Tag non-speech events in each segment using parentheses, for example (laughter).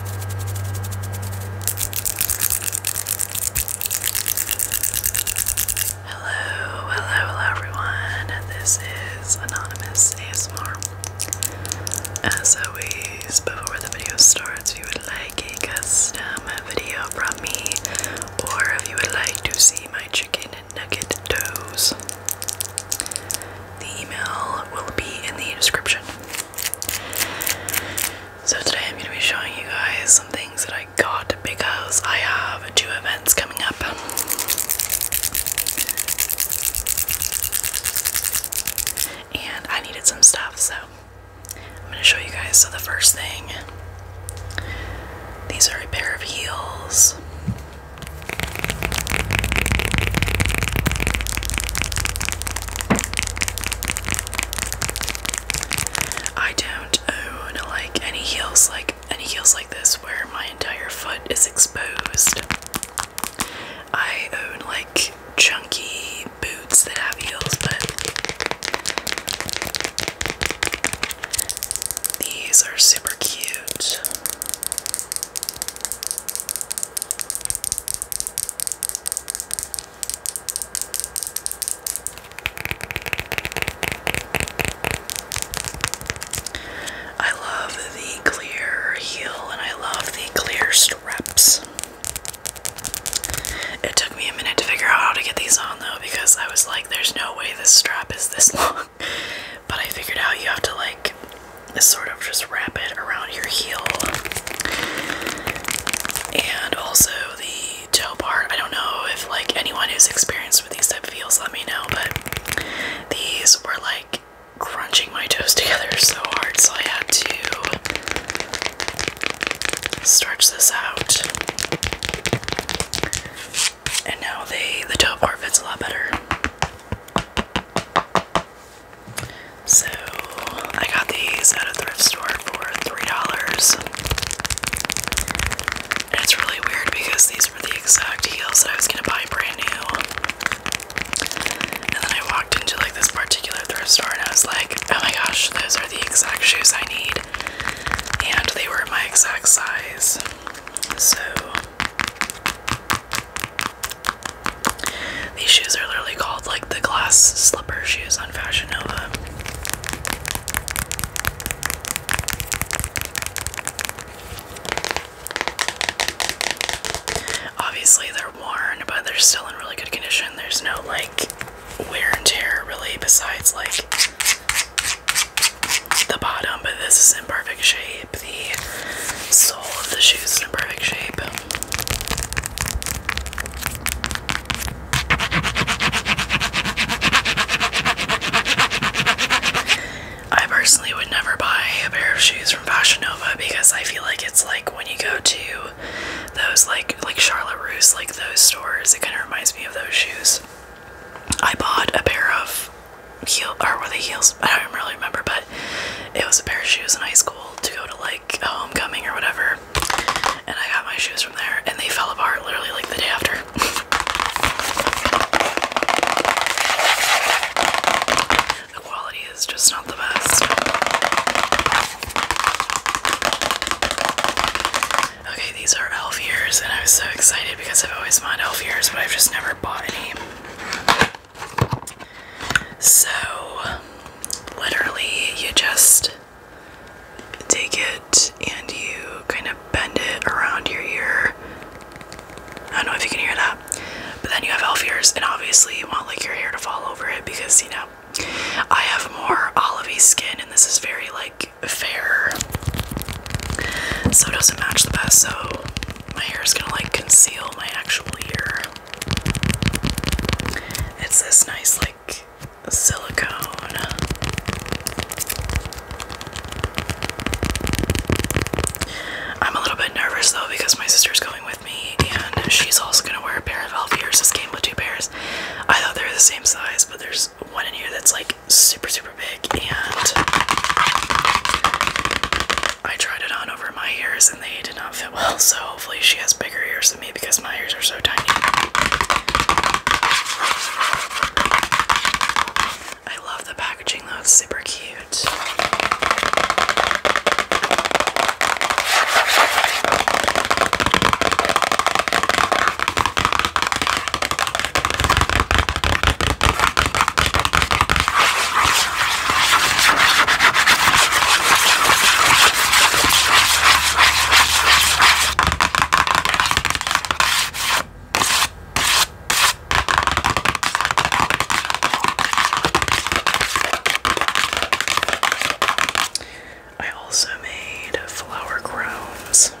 Hello, hello, hello everyone. This is Anonymous ASMR. As always, before the video starts, if you would like a custom video from me, or if you would like to see my chicken nugget toes, the email will be in the description. So today I'm going to be showing you guys some things that I got because I have two events coming up. And I needed some stuff, so I'm going to show you guys. So the first thing, these are a pair of heels. I don't own like any heels like any heels like this where my entire foot is exposed. I own like chunky boots that have heels, but these are super cute. I love the clear heel and I love the clear straps. It took me a minute to figure out how to get these on though because I was like, there's no way this strap is this (laughs) long. but I figured out you have to like sort of just wrap it around your heel. And also the toe part. I don't know if like anyone who's experienced with these type of heels let me know, but these were like crunching my toes together so hard, so I had to stretch this out. And now they the toe part fits a lot better. So I got these at a thrift store for $3. And it's really weird because these were the exact heels that I was gonna buy brand new. And then I walked into like this particular thrift store and I was like, oh my gosh, those are the exact shoes I need. And they were my exact size. So these shoes are literally called like the glass slipper shoes on Fashion Nova. Obviously, they're worn, but they're still in really good condition. There's no like wear and tear really, besides like the bottom, but this is in perfect shape the sole of the shoes in perfect shape. I personally would never buy a pair of shoes from Fashion Nova because I feel like it's like when you go to those like like Charlotte Russe, like those stores, it kind of reminds me of those shoes. I bought a pair of heel or were the heels? I don't really remember, but it was a pair of shoes in high school to go to like homecoming or whatever. And I got my shoes from there and they fell apart literally like the day after. the quality is just not the best. Okay, these are elf ears, and I was so excited because I've always wanted elf ears, but I've just never bought any. So, literally, you just take it and you kind of bend it around your ear. I don't know if you can hear that. But then you have elf ears, and obviously, you want like your hair to fall over it because you know I have more olivey skin, and this is very like fair, so it doesn't match the best. So my hair is gonna like conceal my actual ear. It's this nice, like, silicone. I'm a little bit nervous though because my sister's going with me and she's also gonna wear a pair of elf ears. This came with two pairs. I thought they were the same size, but there's one in here that's like super, super big and I tried it on over my ears and they did not fit well, so hopefully she has bigger ears than me because my ears are so tiny. I love the packaging though, super cute. I also made flower crowns.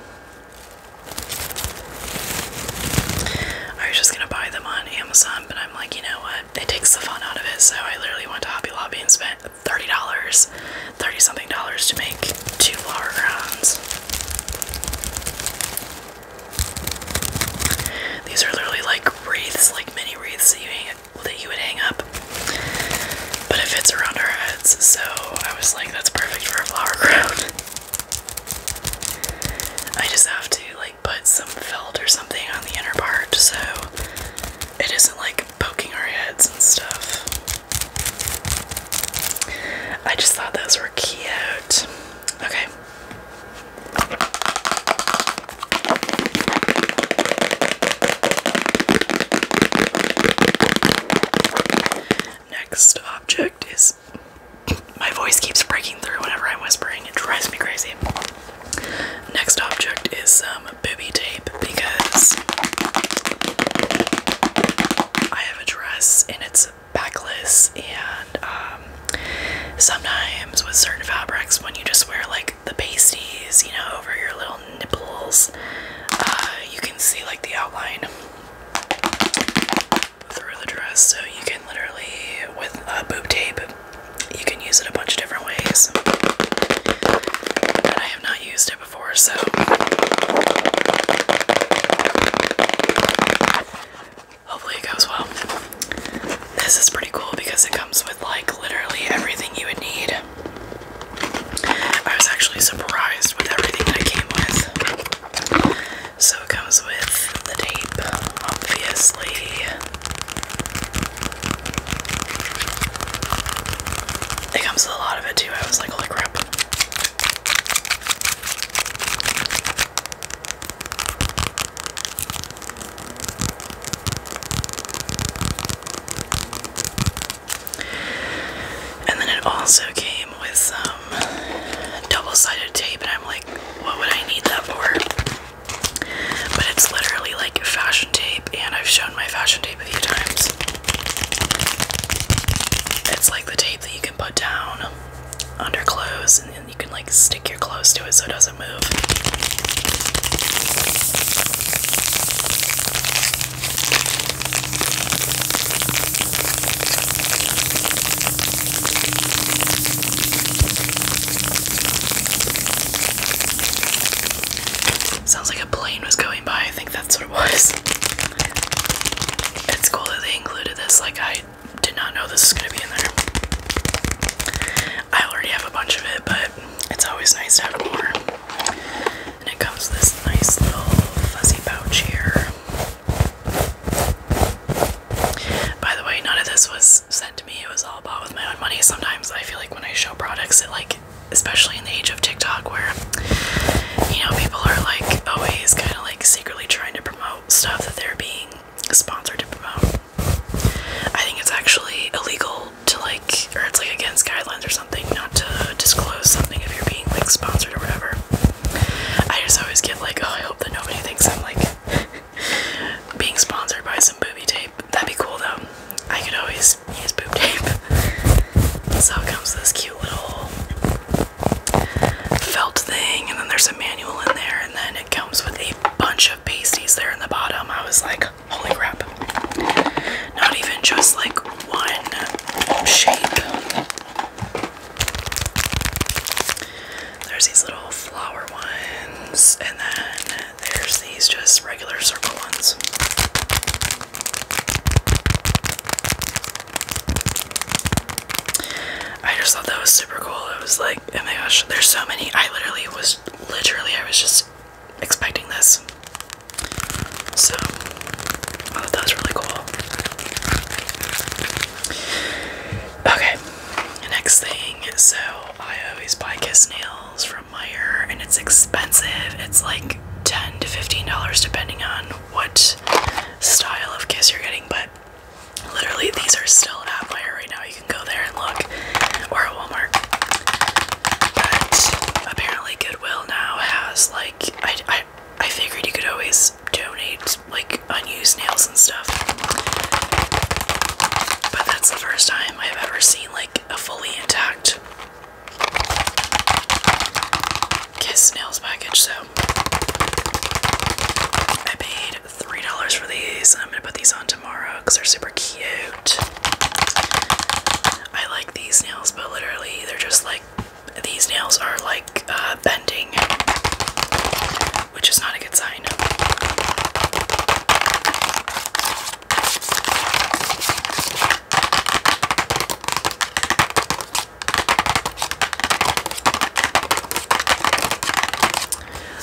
I was just gonna buy them on Amazon, but I'm like, you know what? It takes the fun out of it, so I literally went to Hobby Lobby and spent $30, 30 something dollars to make two flower crowns. These are literally like wreaths, like mini wreaths that you that you would hang up, but it fits around our heads, so I was like, that's perfect for a flower crown. (laughs) I just have to like put some felt or something on the inner part so it isn't like poking our heads and stuff. I just thought those were cute. Okay. Next object is my voice keeps breaking through whenever I'm whispering. It drives me crazy. Next object is some boobie tape because I have a dress and it's backless and um, sometimes with certain fabrics when you just wear like the pasties, you know, over your little nipples, uh, you can see like the outline through the dress. So you can literally, with a boob tape, you can use it a bunch of different ways. I have not used it before, so hopefully it goes well. This is pretty cool because it comes with like literally everything you would need. I was actually surprised with everything that it came with. So it comes with the tape, obviously. It comes with a lot of it too. I was like, holy crap. And then it also came with some um, double-sided tape and I'm like, what would I need that for? But it's literally like fashion tape and I've shown my fashion tape a few times. It's like the tape that you can put down under clothes and then you can like stick your clothes to it so it doesn't move. Sounds like a plane was going by. I think that's what it was. It's cool that they included this. Like, I did not know this was going to be in there. I already have a bunch of it, but it's always nice to have more. And it comes this nice little fuzzy pouch here. By the way, none of this was sent to me. It was all bought with my own money. Sometimes I feel like when I show products, it like, especially in the age of TikTok, where you know people are like always kind of like secretly trying to promote stuff that they're being sponsored to promote. I think it's actually illegal to like, or it's like against guidelines or something, not to disclose something if you're being like sponsored or whatever. I just always get like, oh, I hope that nobody thinks I'm like (laughs) being sponsored by some booby tape. That'd be cool though. I could always use boob tape. (laughs) So it comes this cute little felt thing, and then there's a manual in there, and then it comes with a bunch of pasties there in the bottom. I was like, holy crap. Not even just like one shape. There's these little flower ones, and then there's these just regular circle ones. I just thought that was super cool. It was like, oh my gosh, there's so many. I literally was, literally, I was just expecting this. So. Oh, that was really cool. Okay, next thing. So, I always buy Kiss Nails from Meyer, and it's expensive. It's like 10 to $15 depending on what style of kiss you're getting, but literally these are still at Meyer right now. You can go there and look, or at Walmart. But apparently Goodwill now has like I I figured you could always donate like unused nails and stuff. But that's the first time I've ever seen like a fully intact Kiss nails package, so I paid three dollars for these and I'm gonna put these on tomorrow because they're super cute. I like these nails, but literally they're just like these nails are like uh, bending, which is not a good sign.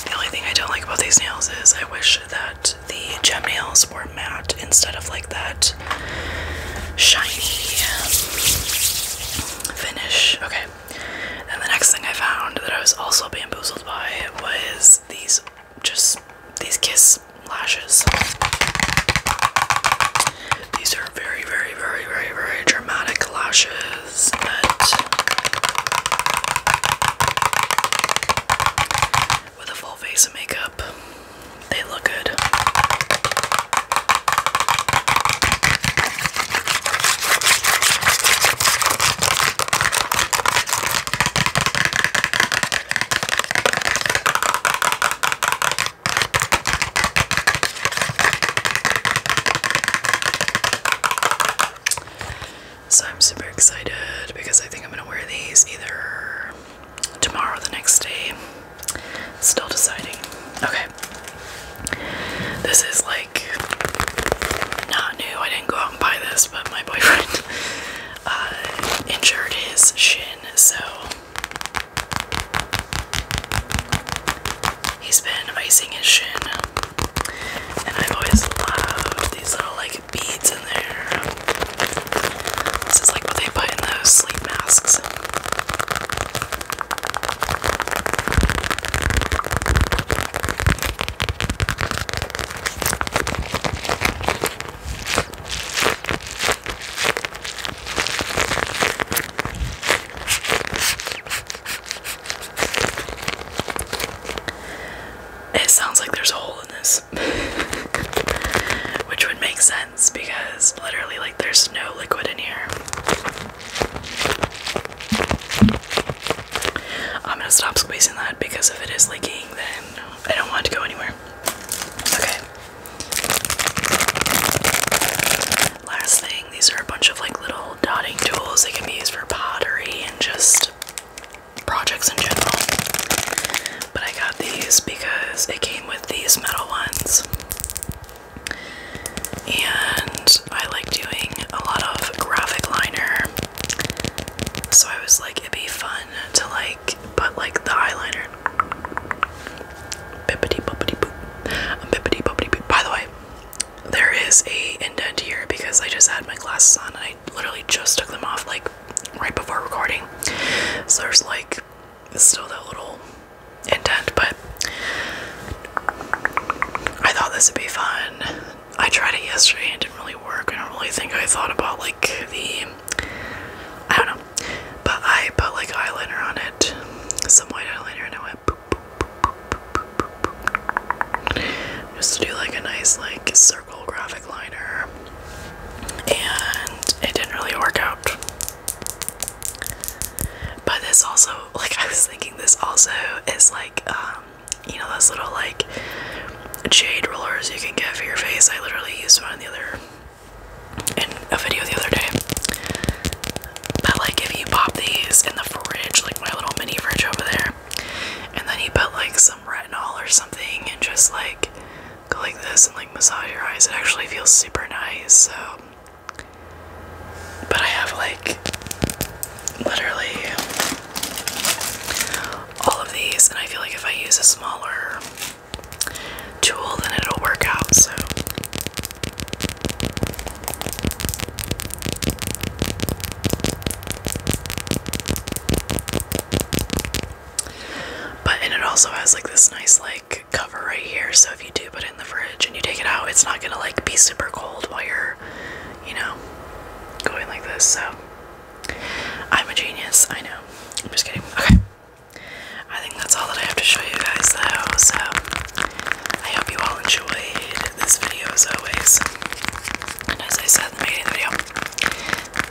The only thing I don't like about these nails is I wish that the gem nails were matte instead of like that shiny finish. Okay. And the next thing I found that I was also bamboozled by was these just these kiss lashes. These are very, very, very, very, very dramatic lashes with a full face of makeup they look good. So I'm super excited because I think I'm going to wear these either tomorrow, the next day. Still deciding. Okay. This is like not new. I didn't go out and buy this, but my (laughs) boyfriend uh, injured his shin, so he's been icing his shin. And I've always loved these little like beads in there. This is like what they put in those sleep masks. It sounds like there's a hole in this. Which would make sense because literally, like, there's no liquid in here. I'm gonna stop squeezing that because if it is leaking, then I don't want to go anywhere. Okay. Last thing, these are a bunch of like little dotting tools. They can be used for pottery and just projects in general. But I got these because it came with these metal ones. And I like doing a lot of graphic liner. So I was like, it'd be fun to like put like the eyeliner. Bippity boppity boop. Um, bippity boppity boop. By the way, there is a indent here because I just had my glasses on I literally just took them off like right before recording. So there's like still that little indent, but I thought this would be fun. I tried it yesterday and it didn't really work. I don't really think I thought about like the I don't know. But I put like eyeliner on it. Some white eyeliner and I went boop, Just to do like a nice like circle graphic liner and it didn't really work out. But this also, like, I was thinking, this also is like, um, you know, those little like jade rollers you can get for your face. I literally used one the other in a video the other day. But like, if you pop these in the fridge, like my little mini fridge over there, and then you put like some retinol or something, and just like go like this and like massage your eyes. It actually feels super nice. So, but I have like literally all of these, and I feel like if I use a smaller tool, then it'll work out. So. But and it also has like this nice like cover right here, so if you do put it in the fridge and you take it out, it's not gonna like be super cold while you're, you know, going like this. So I'm a genius, I know. I'm just kidding. Okay. I think that's all that I have to show you guys though, so I hope you all enjoyed this video as always. And as I said in the beginning of the video,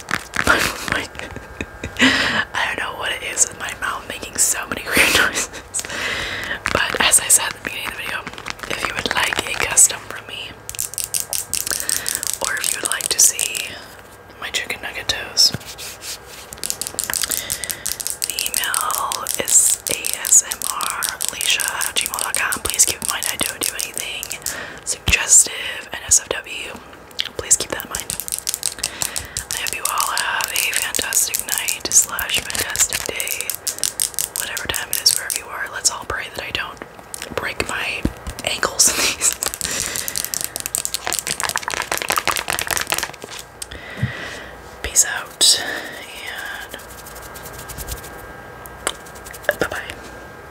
I don't know what it is with my mouth making so many (laughs) weird noises. But as I said at the beginning of the video, if you would like a custom from me, or if you would like to see my chicken nugget toes, the email is asmrleisha at gmail.com. Please keep in mind I don't do anything suggestive, NSFW. Please keep that in mind. I hope you all have a fantastic night slash fantastic day. Whatever time it is, wherever you are, let's all pray that I don't break my ankles (laughs) Peace out and bye bye.